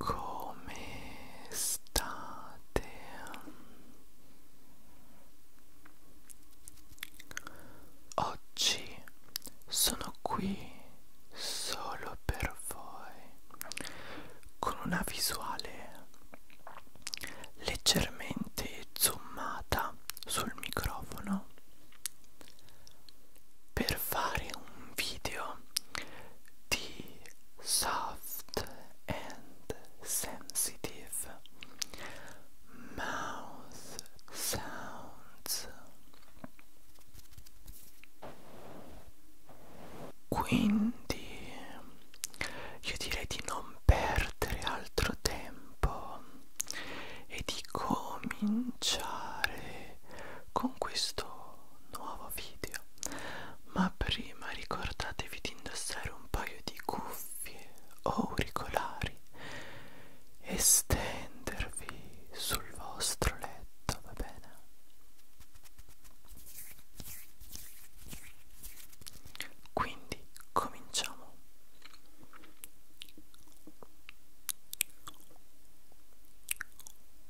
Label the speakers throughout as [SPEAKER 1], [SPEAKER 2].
[SPEAKER 1] Come state? Oggi sono qui solo per voi con una visuale leggermente zoomata sul microfono per fare un video di soft and sensitive mouth sounds. Quindi io direi di non perdere altro tempo e di cominciare con questo nuovo video. Ma prima ricordatevi di indossare un paio di cuffie o auricolari e stendervi sul vostro letto, va bene? Quindi cominciamo.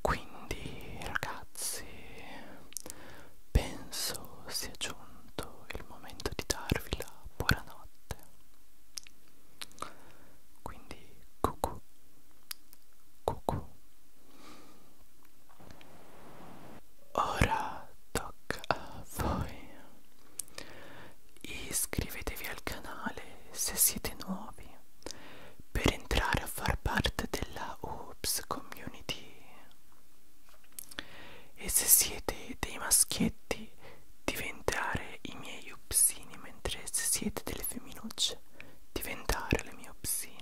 [SPEAKER 1] Quindi ragazzi, penso sia giunto il momento di darvi la buonanotte. Quindi cucù, cucù. Ora tocca a voi. Iscrivetevi al canale se siete nuovi per entrare a far parte della Oops Community. E se siete dei maschietti, diventare i miei upsini, mentre se siete delle femminucce, diventare le mie upsine.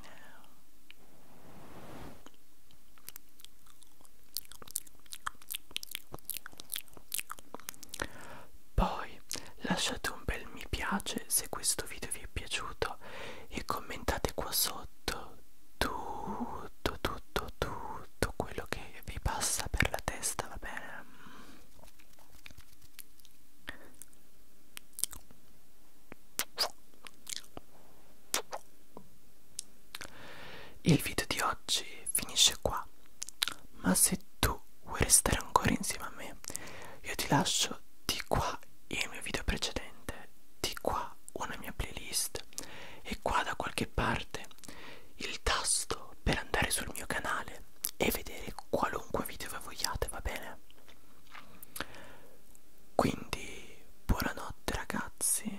[SPEAKER 1] Poi lasciate un bel mi piace se questo video vi è piaciuto e commentate qua sotto tutto, tutto, tutto quello che vi passa per la testa, va bene? Il video di oggi finisce qua, ma se tu vuoi restare ancora insieme a me, io ti lascio di qua il mio video precedente, di qua una mia playlist e qua da qualche parte il tasto per andare sul mio canale e vedere qualunque video voi vogliate, va bene? Quindi buonanotte ragazzi,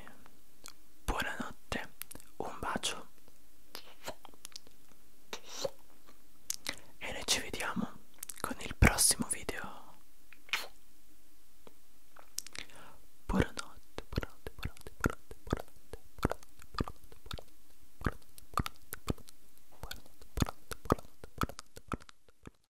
[SPEAKER 1] buonanotte, un bacio e noi ci vediamo con il prossimo video. Buonanotte, buonanotte, buonanotte, buonanotte, buonanotte, buonanotte, buonanotte, buonanotte, buonanotte, buonanotte, buonanotte, buonanotte, buonanotte, buonanotte, buonanotte, buonanotte.